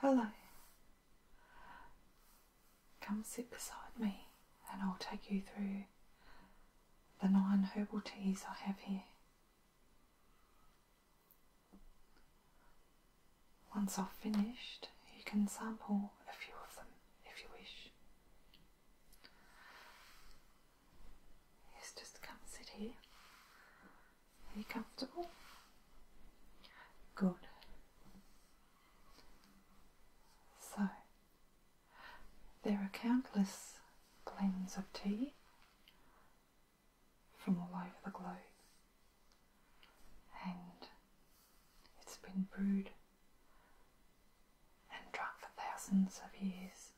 Hello. Come sit beside me and I'll take you through the nine herbal teas I have here. Once I've finished, you can sample a few of them if you wish. Yes, just come sit here. Are you comfortable? Good. So, there are countless blends of tea from all over the globe, and it's been brewed and drunk for thousands of years.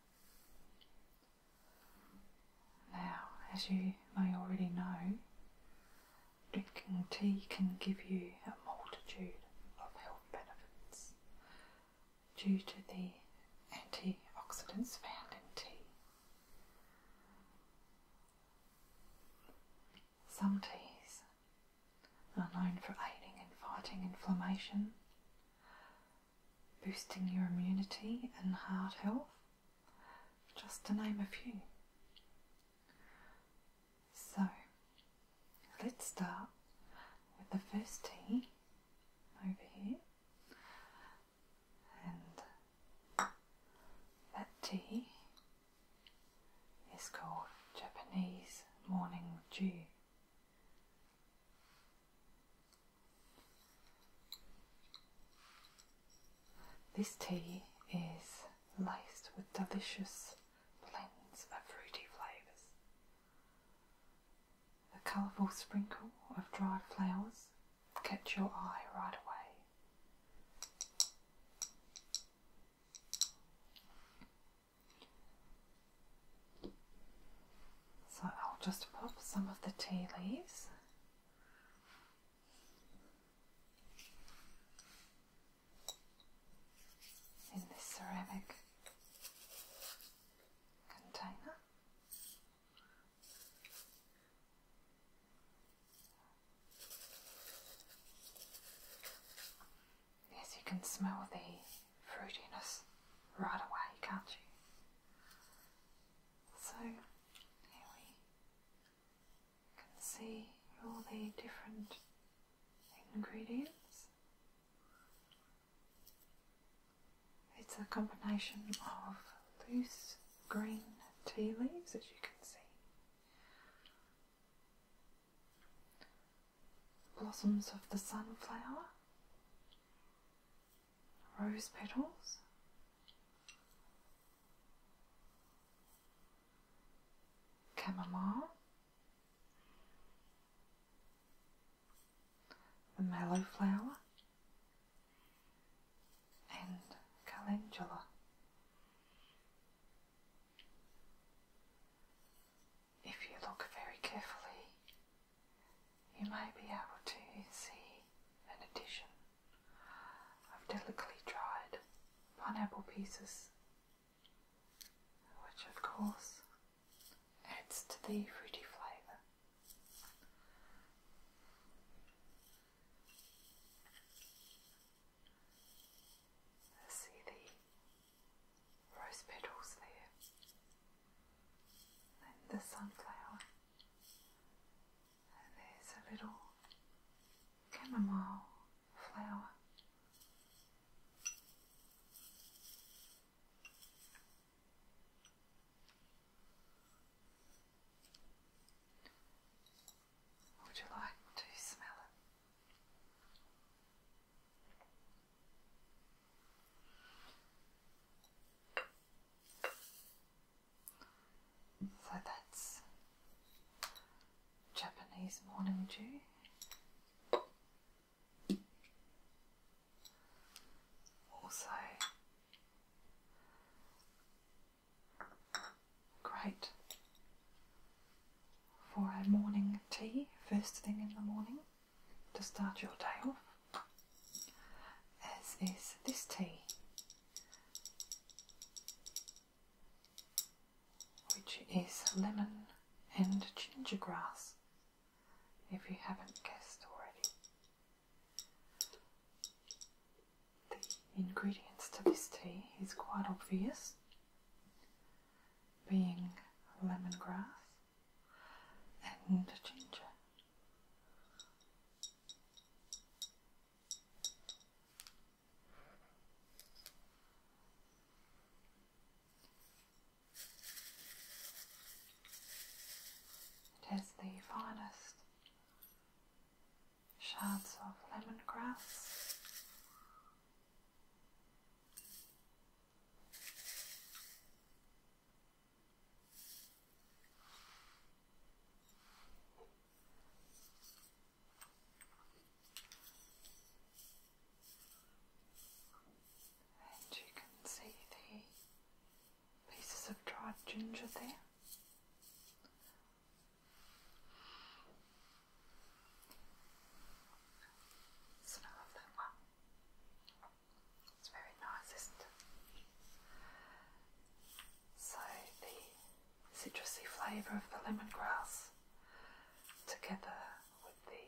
Now, as you may already know, drinking tea can give you a multitude of health benefits due to the antioxidants found in tea. Some teas known for aiding in fighting inflammation, boosting your immunity and heart health, just to name a few. So, let's start with the first tea over here, and that tea is called Japanese morning dew. This tea is laced with delicious blends of fruity flavours. The colourful sprinkle of dried flowers catch your eye right away. So I'll just pop some of the tea leaves. In this ceramic container, Yes, you can smell the fruitiness right away, can't you? So here we can see all the different ingredients. It's a combination of loose green tea leaves, as you can see, blossoms of the sunflower, rose petals. Chamomile, the mallow flower, and calendula if you look very carefully, you may be able to see an addition of delicately dried pineapple pieces, which of course adds to the fruity flavour. See the rose petals there, and the sunflower, and there's a little chamomile flower. Would you like to smell it? So that's Japanese morning dew. Also, great for a morning tea first thing in the morning to start your day off, as is this tea, which is lemon and ginger grass, if you haven't guessed already. The ingredients to this tea is quite obvious being lemongrass and ginger. It has the finest shards of lemongrass and you can see the pieces of dried ginger there. The smell of that one. It's very nice, isn't So the citrusy flavour of the lemongrass together with the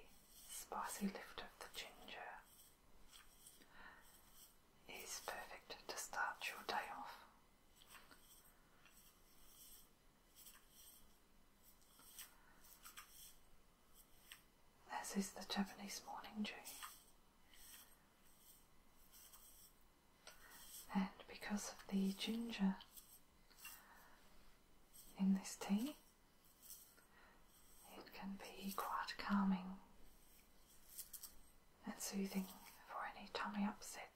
spicy lift of the ginger is perfect to start your day off. As is the Japanese morning dew. And because of the ginger in this tea, it can be quite calming and soothing for any tummy upsets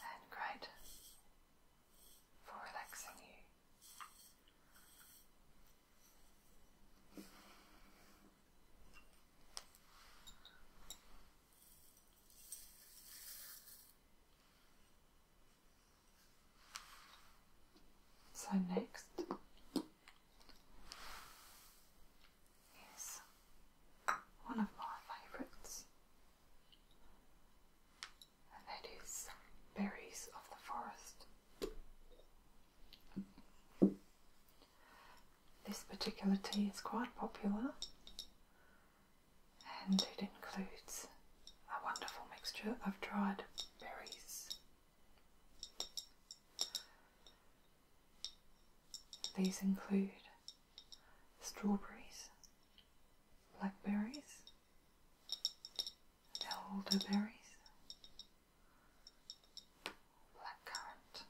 and great for relaxing you. So, next, is one of my favourites, and that is Berries of the Forest. This particular tea is quite popular and it includes a wonderful mixture of dried berries. These include strawberries, blackberries, and elderberries, blackcurrant,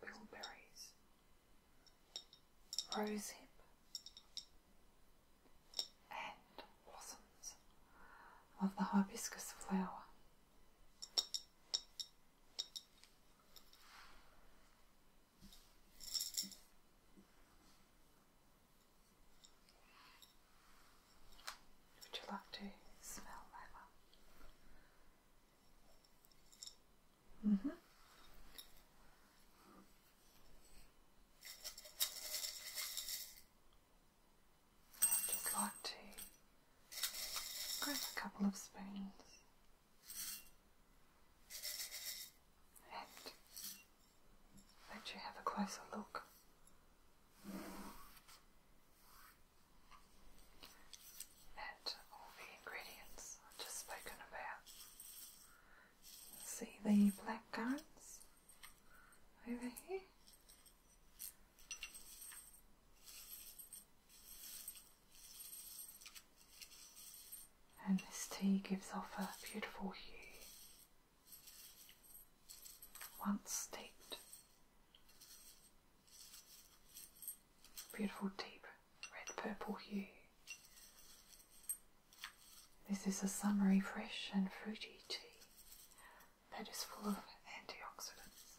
bilberries, rosehip, and blossoms of the hibiscus flower. Would you like to smell leather? Mm -hmm. I'd just like to grab a couple of spoons let you have a closer look. At all the ingredients I've just spoken about. See the black currants over here? and this tea gives off a beautiful hue once steeped. Beautiful deep red purple hue. This is a summery, fresh, and fruity tea that is full of antioxidants.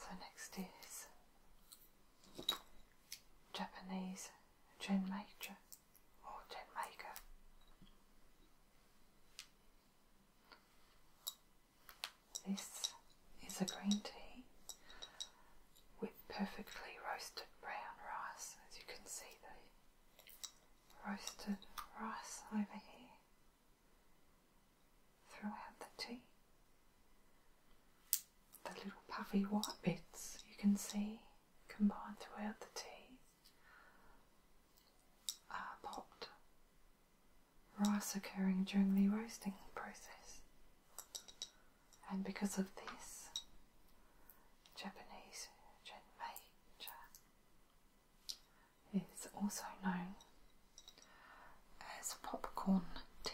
So next is Japanese gin maker or gin maker. This is a green tea with perfectly roasted brown rice, as you can see the roasted rice over here throughout the tea. The little puffy white bits you can see combined throughout the tea are popped rice occurring during the roasting process and because of this, Japanese genmaicha is also known as popcorn tea.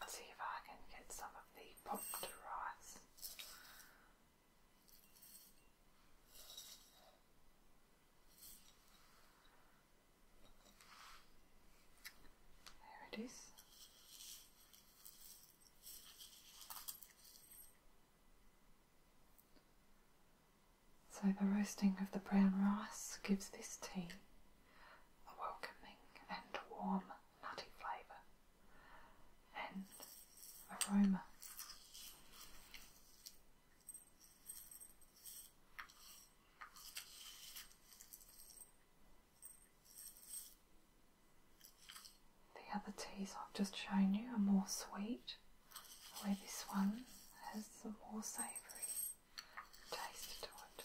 Let's see if I can get some of the popped rice there it is. So the roasting of the brown rice gives this tea a welcoming and warm nutty flavour and aroma. The other teas I've just shown you are more sweet, where this one has a more savoury taste to it.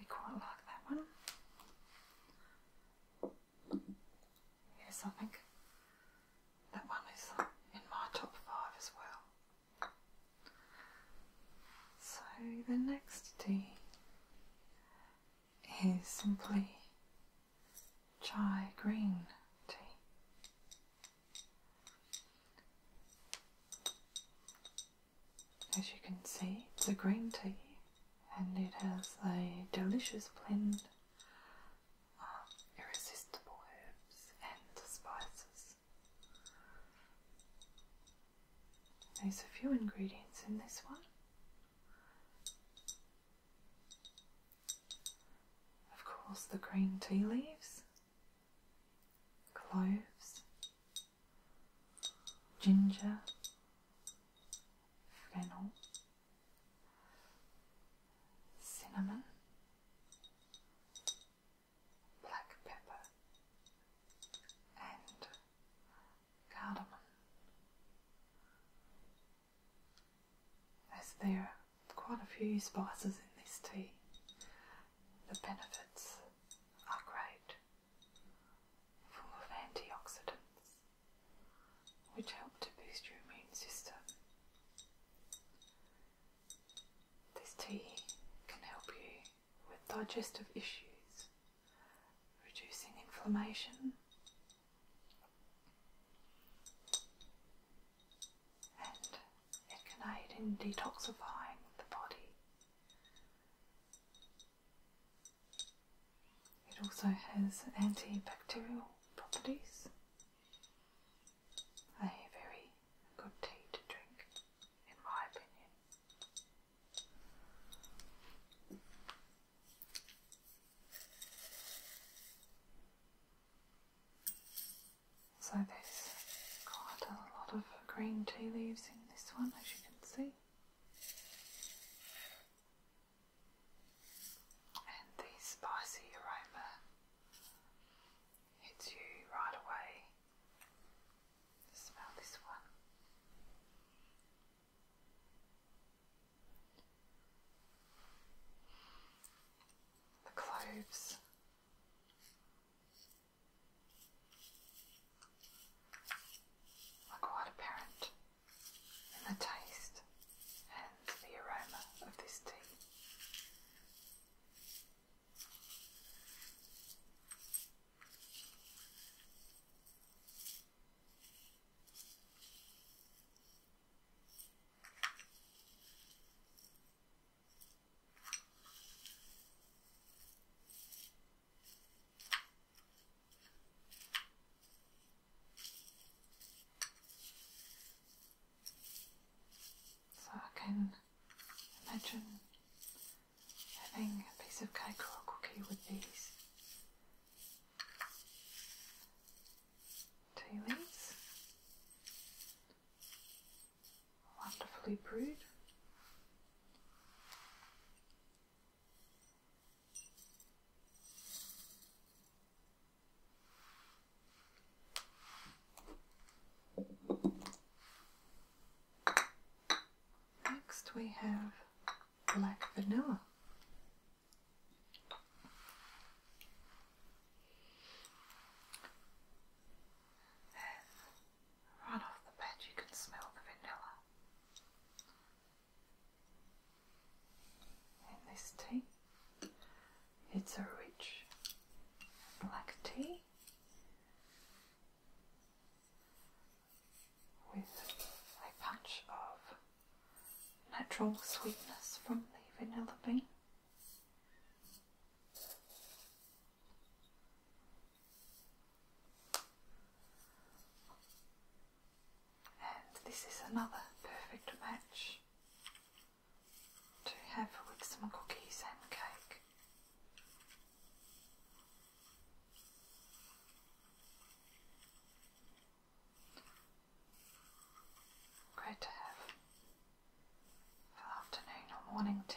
I quite like that one. Yes, I think that one is in my top five as well. So the next tea is simply chai green tea. As you can see, it's a green tea and it has a delicious blend of irresistible herbs and spices. There's a few ingredients in this one. Of course, the green tea leaves, cloves, ginger, fennel, cinnamon, black pepper, and cardamom. As there are quite a few spices in this tea, the benefits are great, full of antioxidants, which help to boost your immune system. This tea can help you with digestive issues, reducing inflammation, and it can aid in detoxifying the body it also has antibacterial properties, a very good tea to drink, in my opinion. So there's quite a lot of green tea leaves in this one as you can see. And the spicy aroma hits you right away. Smell this one. The cloves like quite apparent in the taste and the aroma of this tea. So I can imagine having a piece of cake or a cookie with these tea leaves wonderfully brewed. Next we have black vanilla. Right off the bat, you can smell the vanilla. And this tea, it's a rich black tea with a punch of natural sweetness from the vanilla bean. And this is another perfect match to have with some cookies and cake. Great to have for afternoon or morning tea.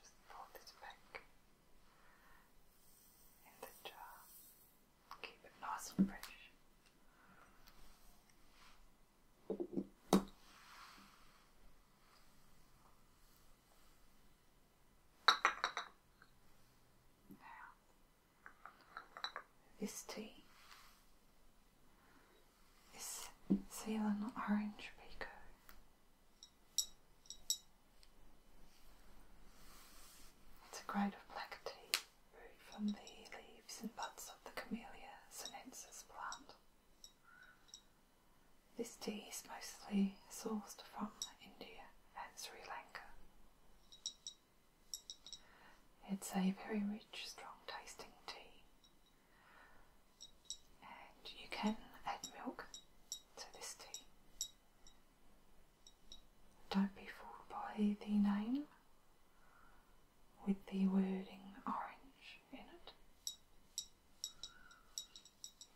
just fold this back in the jar. Keep it nice and fresh. Now, this tea is Ceylon Orange Pico. It's a grade of black tea brewed from the leaves and buds of the Camellia sinensis plant. This tea is mostly sourced from India and Sri Lanka. It's a very rich, strong tasting tea and you can add milk to this tea. Don't be fooled by the name with the wording orange in it.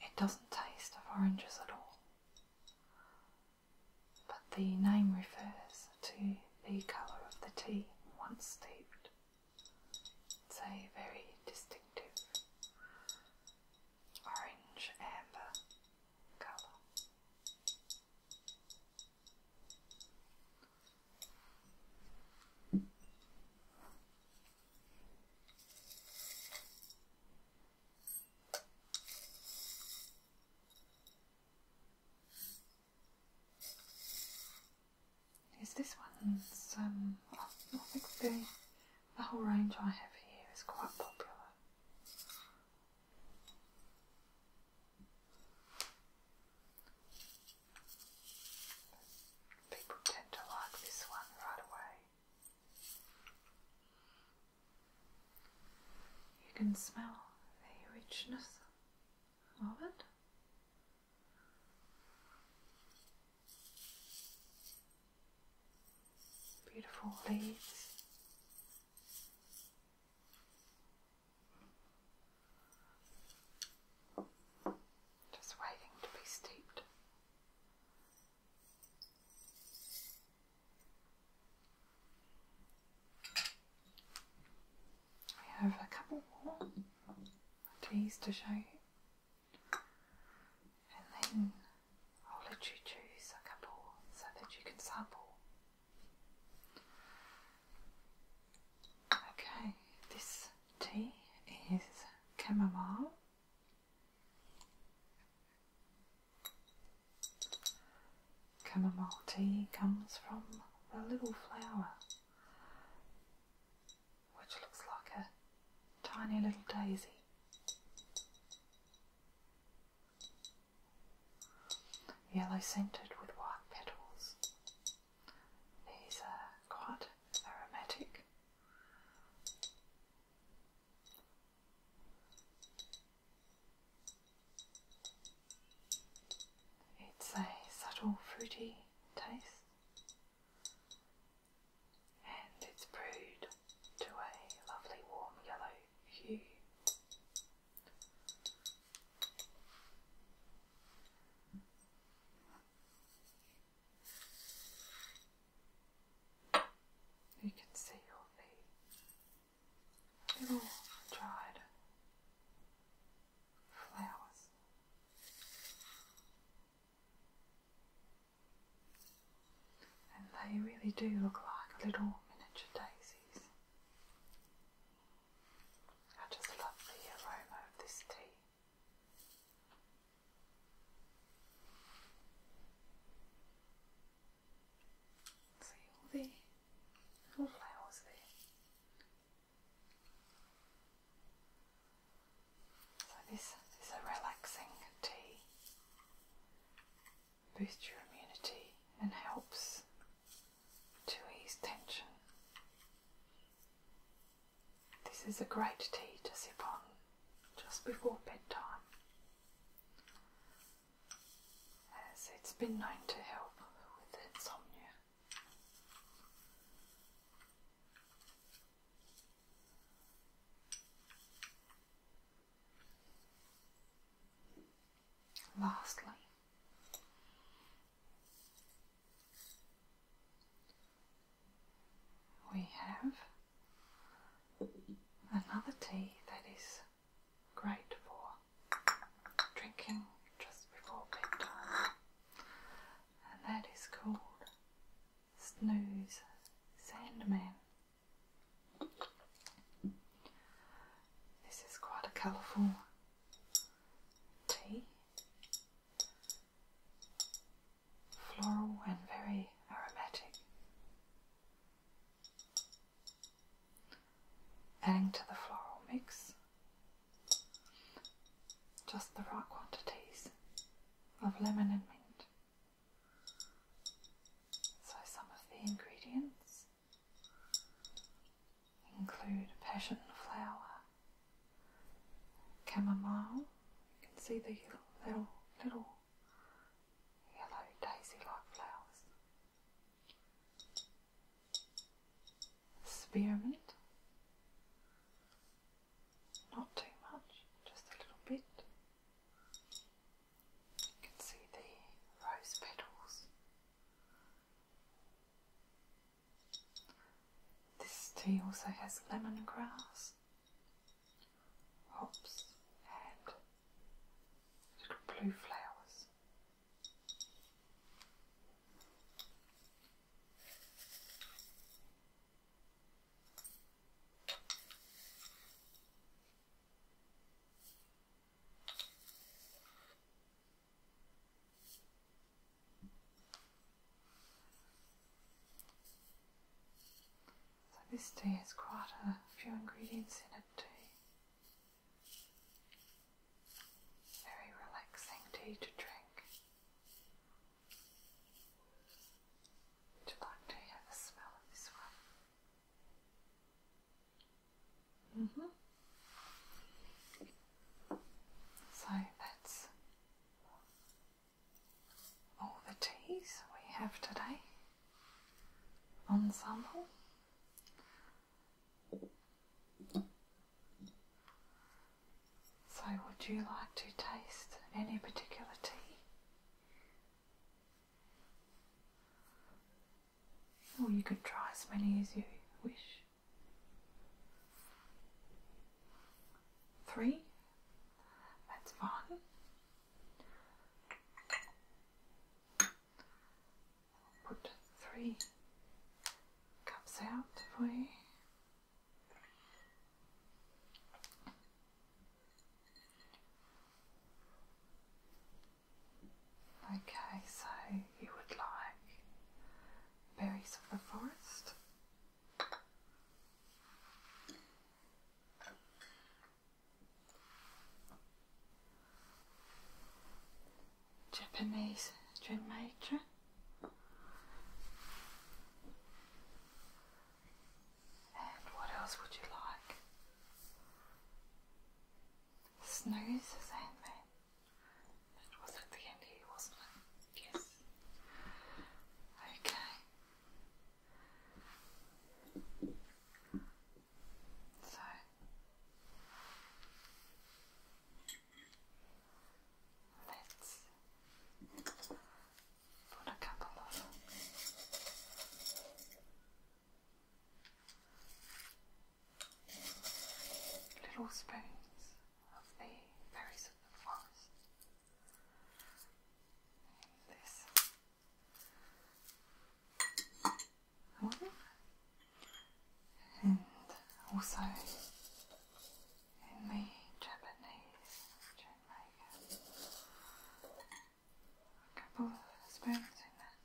It doesn't taste of oranges at all, but the name refers to the colour of the tea once steeped. It's a very distinctive orange amber colour is this one? um, oh, I think the, the whole range I have here is quite popular. People tend to like this one right away. You can smell the richness of it. Beautiful leaves. Just waiting to be steeped. We have a couple more teas to show you and then I'll let you choose a couple so that you can sample. Okay, this tea is chamomile. Chamomile tea comes from the little flower which looks like a tiny little daisy. Yellow scented with white petals. These are quite aromatic. It's a subtle fruity taste and its brood to a lovely warm yellow hue. You can see all the dried flowers. And they really do look like little miniature daisies. I just love the aroma of this tea. See all the little flowers there. So this is a relaxing tea. Boosts your immunity and helps to ease tension. This is a great tea to sip on just before bedtime, as it's been known to help with insomnia. Lastly, we have another tea that is great for drinking just before bedtime, and that is called Snooze, Sandman. This is quite a colourful tea. Floral and very aromatic. Adding to the floral mix just the right quantities of lemon and mint. So, some of the ingredients include passion flower, chamomile. You can see the little little yellow daisy-like flowers. Spearmint, not too much, just a little bit. You can see the rose petals. This tea also has lemongrass, hops, and little blue flowers. So this tea has quite a few ingredients in it Very relaxing tea to drink. Would you like to smell of this one? -hmm. So that's all the teas we have today. Ensemble. So, would you like to taste any particular tea? Or you could try as many as you wish. Three? That's fine. Put three cups out for you. Okay, so you would like berries of the forest? Japanese dream maker? And what else would you like? Snooze is handmade. That was at the end here, wasn't Yes. Okay. So. Let's put a couple of little spoons of the berries of the forest in this and also in the Japanese like a couple of spoons in there.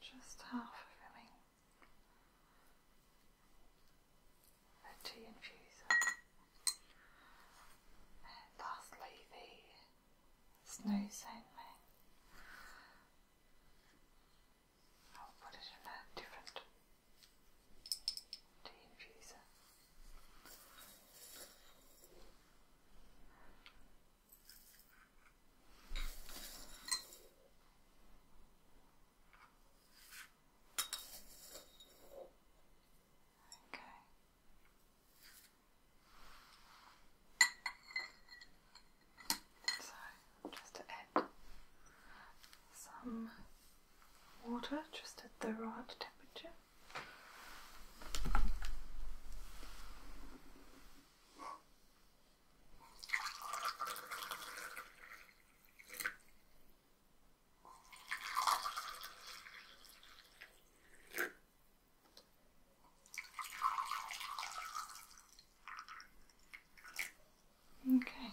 Just half filling the tea infuser. And lastly, the snow sandman. I'll put it in a different tea infuser. Okay. So just to add some water just at the right temperature. Okay.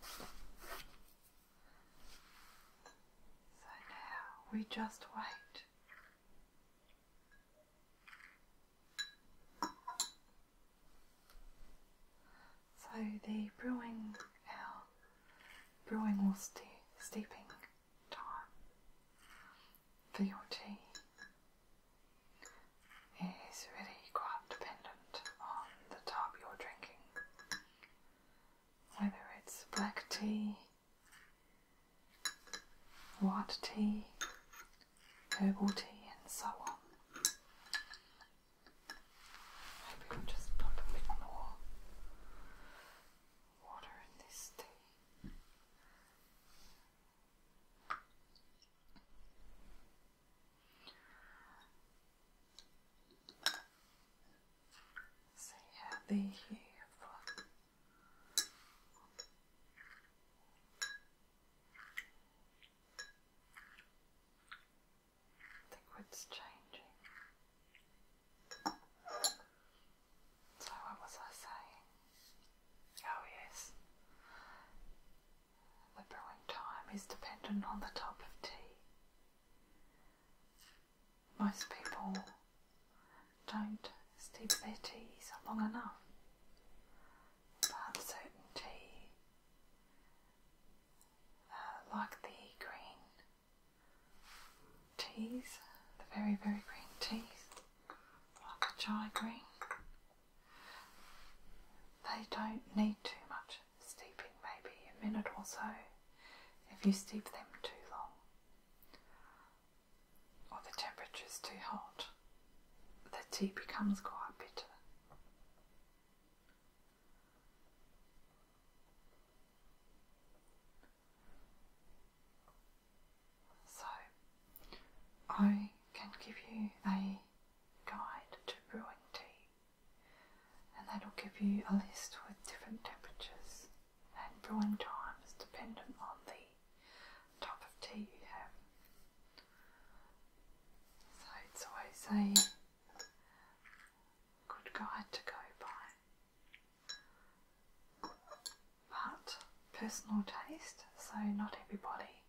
So now we just wait. So the brewing, brewing or steeping time for your tea it is really quite dependent on the type you're drinking, whether it's black tea, white tea, herbal tea, and so on. Maybe we'll just pop a bit more water in this tea. Seyhadi for the quid's changing. So what was I saying? Oh, yes. The brewing time is dependent on the type of tea. Most people don't steep their teas long enough, but certain tea, uh, like the green teas, the very, very green teas, like the chai green, they don't need too much steeping, maybe a minute or so if you steep them too long or the temperature is too hot. The tea becomes quite bitter. So, I can give you a guide to brewing tea, and that'll give you a list with different temperatures and brewing times dependent on the type of tea you have. So, it's always a good guide to go by. But personal taste, so not everybody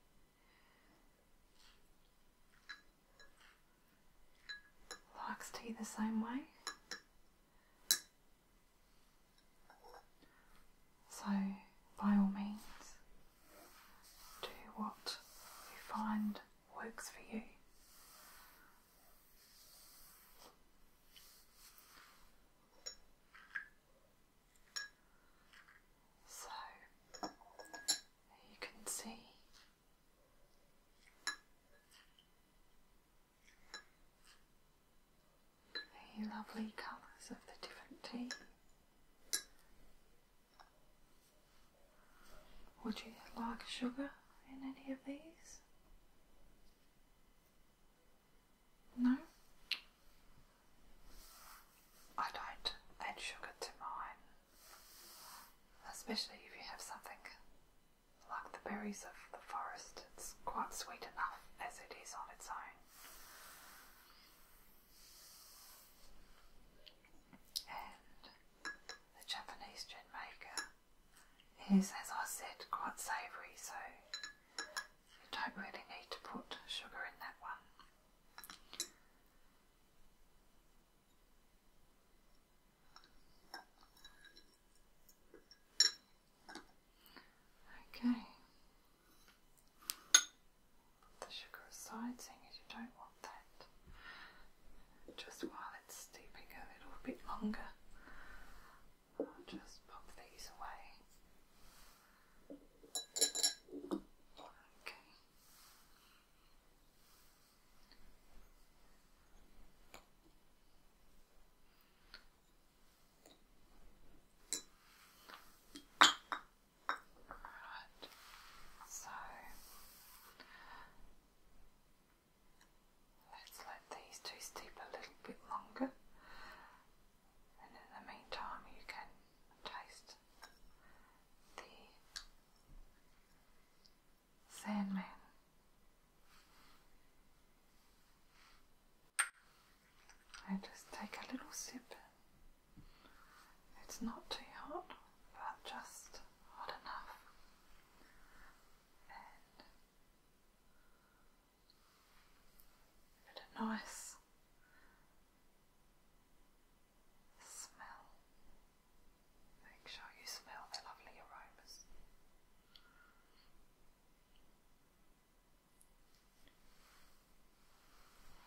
Locks tea the same way. So, by all means, do what you find works for you. So you can see the lovely colours of the different tea. Would you like sugar in any of these? No? I don't add sugar to mine, especially if you have something like the berries of the forest. It's quite sweet enough as it is on its own. And the Japanese gin maker is, as I said, quite savoury, so you don't really need to put sugar in that one. Okay. Put the sugar aside, seeing as you don't want that. Just while it's steeping a little bit longer, just pop these away. Okay. Right. So let's let these two steep a little bit longer and in the meantime, you can taste the Sandman. I just take a little sip. It's not too hot, but just hot enough. a bit nice Smell. Make sure you smell the lovely aromas.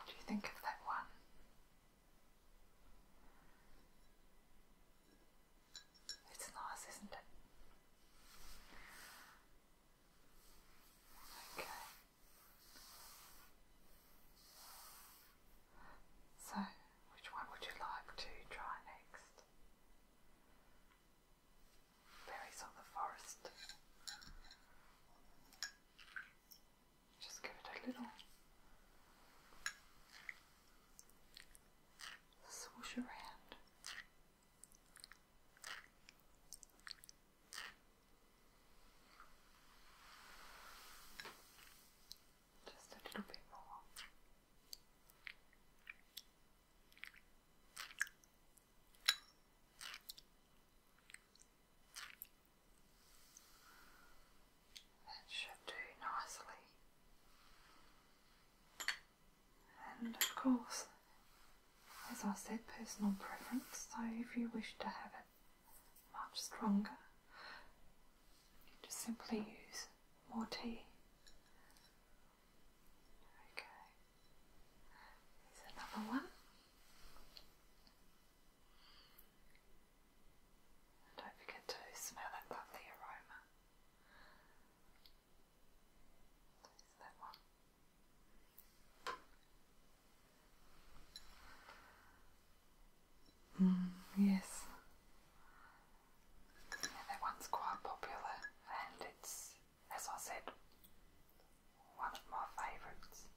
do you think of that one? It's nice, isn't it? Okay. So, which one would you like to try next? Berries on the forest. Just give it a little swoosh around. Just a little bit more. That should do nicely. And of course, as I said, personal preference, so if you wish to have it much stronger. You just simply use more tea. Okay, here's another one. And don't forget to smell that lovely aroma. There's that one. Mm, yes. that one's quite popular and it's, as I said, one of my favourites.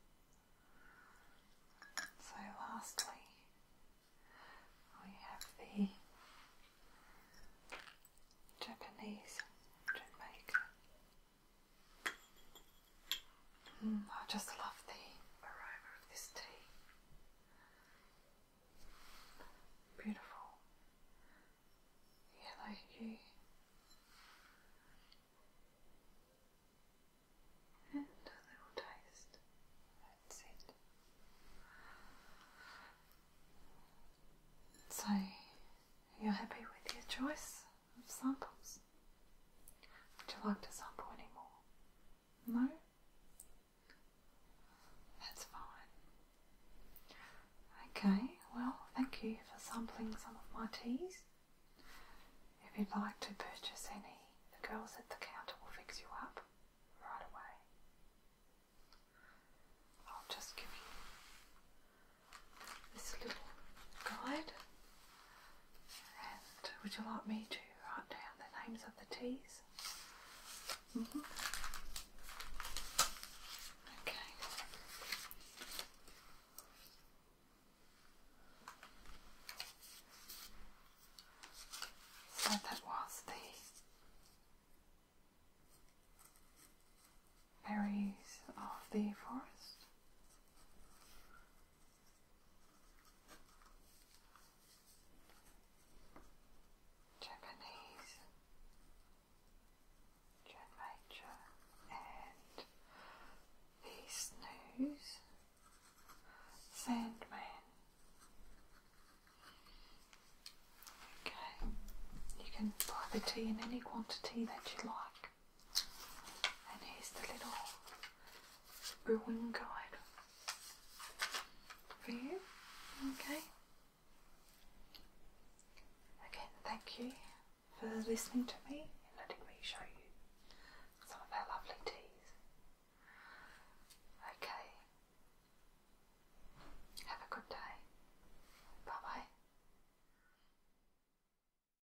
So, lastly, we have the Japanese Jamaica Mm, I just love the aroma of this tea. Beautiful yellow And a little taste. That's it. So, you're happy with your choice of samples? Would you like to sample any more? No? That's fine. Okay, well, thank you for sampling some of my teas. If you'd like to purchase any, the girls at the counter will fix you up right away. I'll just give you this little guide. And would you like me to write down the names of the teas? Okay. So that was the berries of the forest. Japanese, Joan and the Snooze, Sandman. Okay, you can buy the tea in any quantity that you like. And here's the little brewing guide for you. Okay. Again, thank you for listening to me and letting me show you some of our lovely teas. Okay. Have a good day. Bye bye.